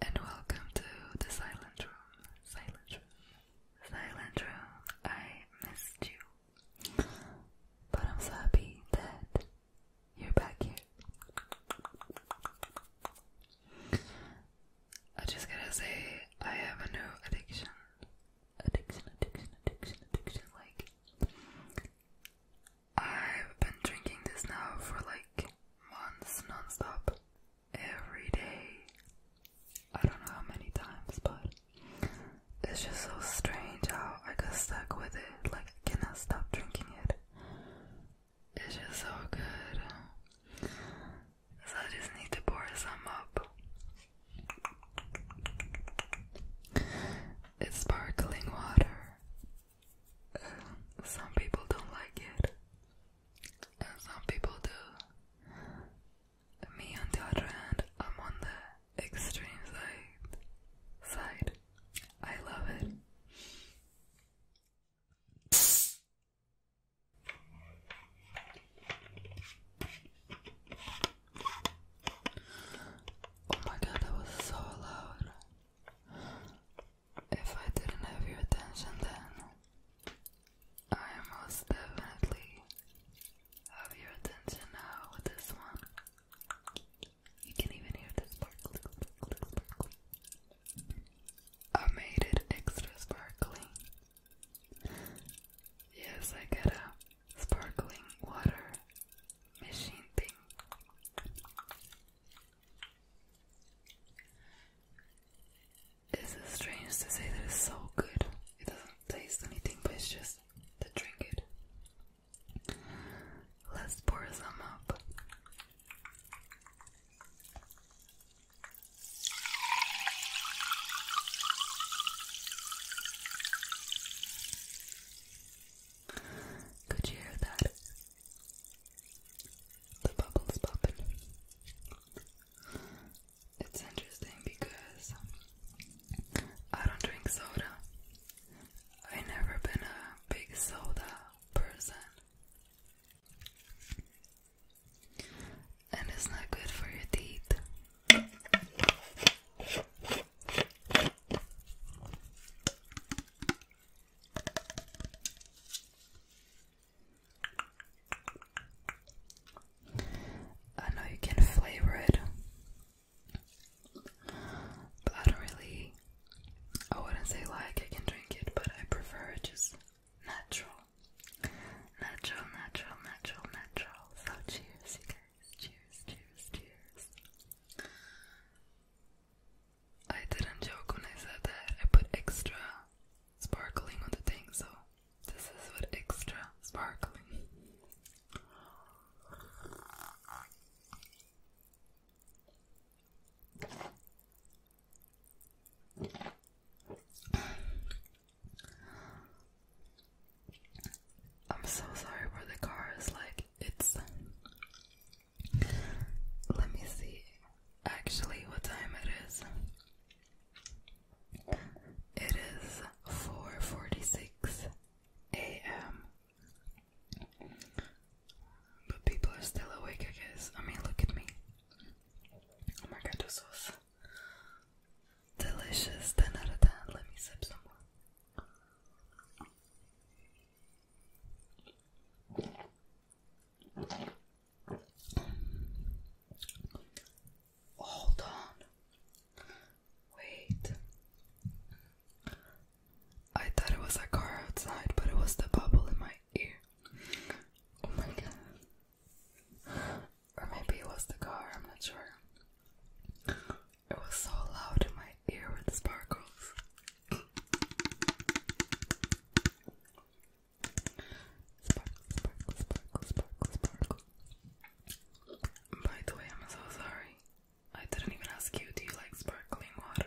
and welcome to the silent room. Silent room. Silent room. I missed you. But I'm so happy that you're back here. I just gotta say, I have a new addiction. Addiction, addiction, addiction, addiction. Like, I've been drinking this now for like months non-stop. Every day. I don't know how many times, but it's just so strange how I got stuck with it. Like, cannot stop drinking it. It's just so good. So I just need to pour some up. It's sparkling water some people don't like it, and some people do. Me, on the I'm on the extreme side. Side, I love it. Oh my god, that was so loud. If I didn't have your attention then, I most definitely have your attention now with this one. You can even hear the sparkle. I made it extra sparkling. Yes, I got a sparkling water machine thing. This is strange to say that it's so good. It doesn't taste anything, but it's just to drink it. Let's pour some up. Could you hear that? The bubbles popping. It's interesting because I don't drink soda. I never been a big soda person. And it's not good for your teeth. I know you can flavor it, but I don't really. I wouldn't say like I can drink it, but I prefer it just natural, natural, natural, natural, natural. So cheers, cheers, cheers, cheers. I didn't joke when I said that. I put extra sparkling on the thing, so this is with extra sparkling. I'm so sorry for the cars, like it's let me see actually what time it is. It is 4:46 a.m. But people are still awake, I guess. I mean, look at me. Oh my god, this was delicious. 10 out of 10. Let me sip some more. Hold on. Wait. I thought it was a car outside, but it was the bubble in my ear. Oh my god. Or maybe it was the car, I'm not sure. It was so loud in my ear with sparkles. Sparkle, sparkle, sparkle, sparkle, sparkle. By the way, I'm so sorry. I didn't even ask you, do you like sparkling water?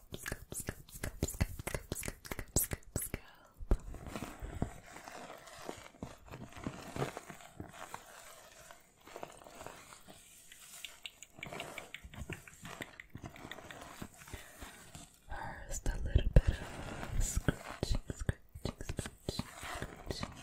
Scoop, scoop, scoop, scoop, scoop, scoop, scoop, scoop, scoop, scoop. First, a little bit of scratching, scratching, scratching, scratching.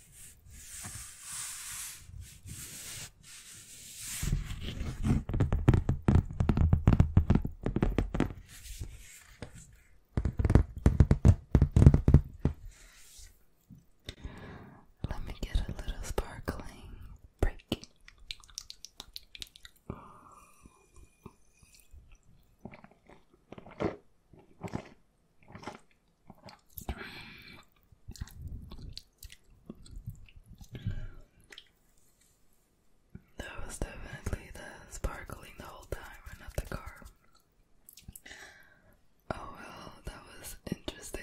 Let me get a little sparkling break. That was definitely the sparkling the whole time and not the car. Oh well, that was interesting.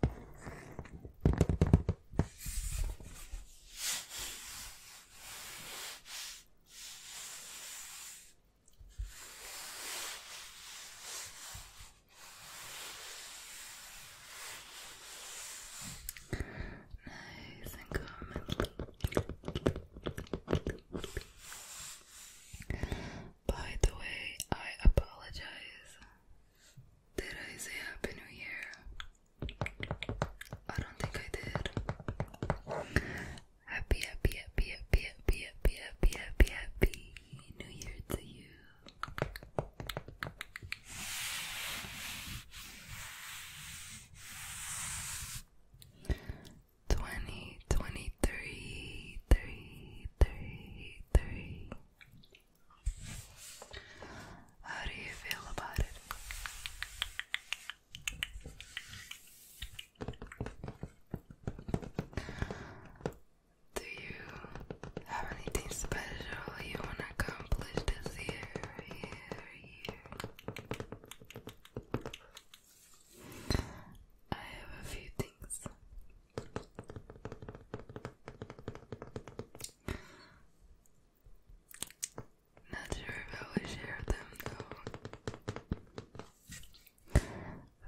Nice and calm. By the way, I apologize did I say Happy New Year? I don't think I did. Happy, happy, happy, happy, happy, happy, happy, happy, happy New Year to you. Twenty twenty three, three, three, three. How do you feel about it? Do you have anything special you want to accomplish this year? I have a few things. Not sure if I will share them though.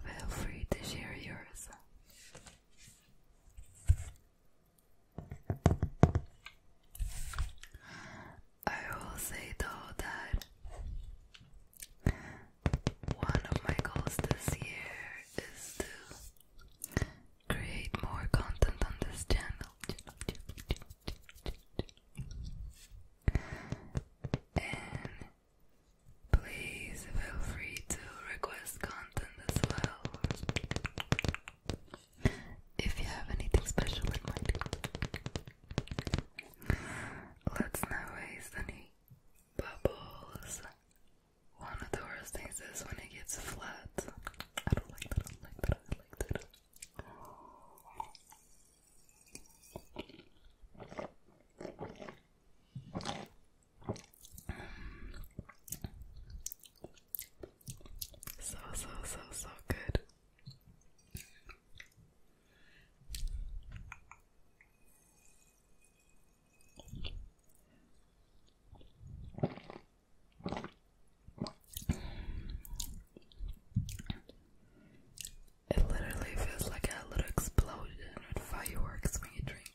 Feel free to share yours. I will say though that one of my goals this year is to create more content on this channel. And please feel free to request content as well if you have anything special in mind. Let's not waste bubbles. One of the worst things is when it gets flat. I don't like that, I don't like that, I don't like that. So, so, so, so good. It literally feels like a little explosion with fireworks when you drink.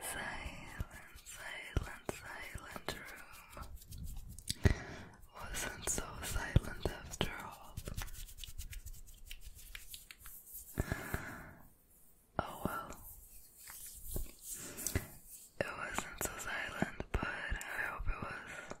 Silent, silent, silent room. Wasn't so silent after all. Oh well. It wasn't so silent, but I hope it was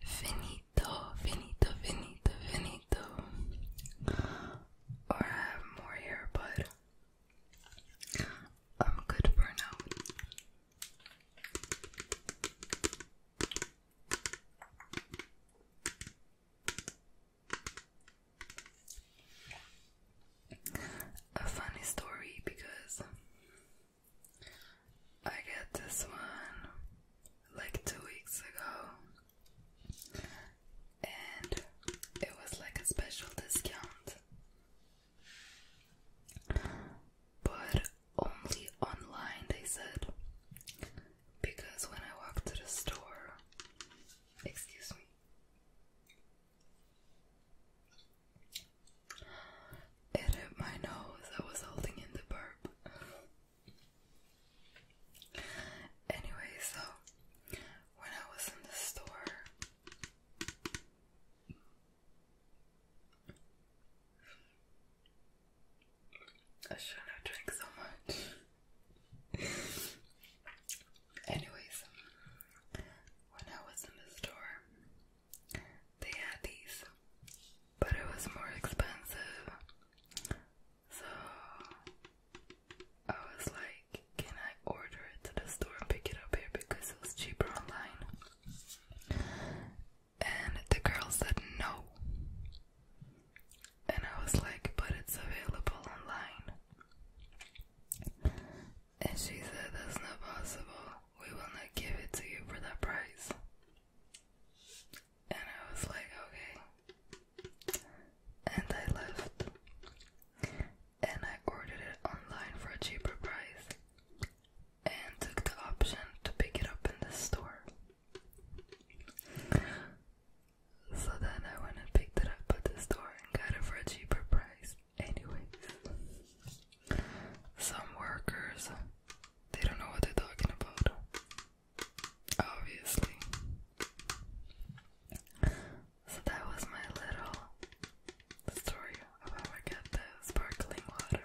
Finito, finito, finito, finito. I have more here, but I'm good for now. A funny story because I got this one like two weeks ago and it was like a special discount. But only online, they said. Because when I walked to the store, excuse me, it hit my nose. I was holding in the burp. Anyway, so when I was in the store, I shouldn't drink so much. Anyways, when I was in the store, they had these, but it was more expensive. So I was like, can I order it to the store and pick it up here because it was cheaper online? And the girl said no. And I was like, but it's available online. And she said, that's not possible. We will not give it to you for that price. And I was like, okay. And I left. And I ordered it online for a cheaper price. And took the option to pick it up in the store. So then I went and picked it up at the store and got it for a cheaper price. Anyways, some workers, they don't know what they're talking about. Obviously. So that was my little story of how I got the sparkling water.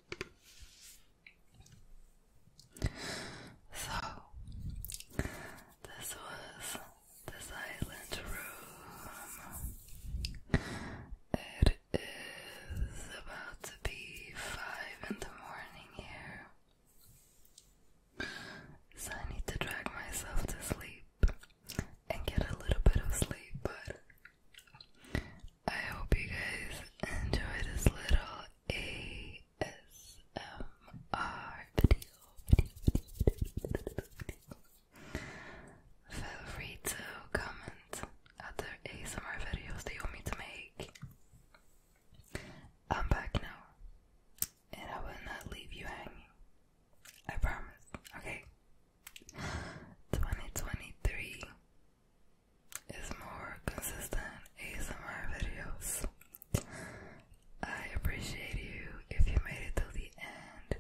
So this was the silent room. It is about to be five in the morning here. So I need to drag myself to sleep and get a little bit of sleep, but I hope you guys enjoy this little ASMR video. Feel free to comment other ASMR videos that want me to make. I'm back now, and I will not leave you hanging. I promise, okay? 2023 is more consistent ASMR videos. I appreciate you if you made it till the end.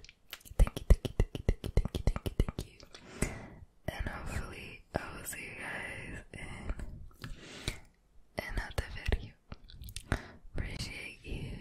Thank you, thank you, thank you, thank you, thank you, thank you, thank you. And hopefully I will see you guys in another video. Appreciate you.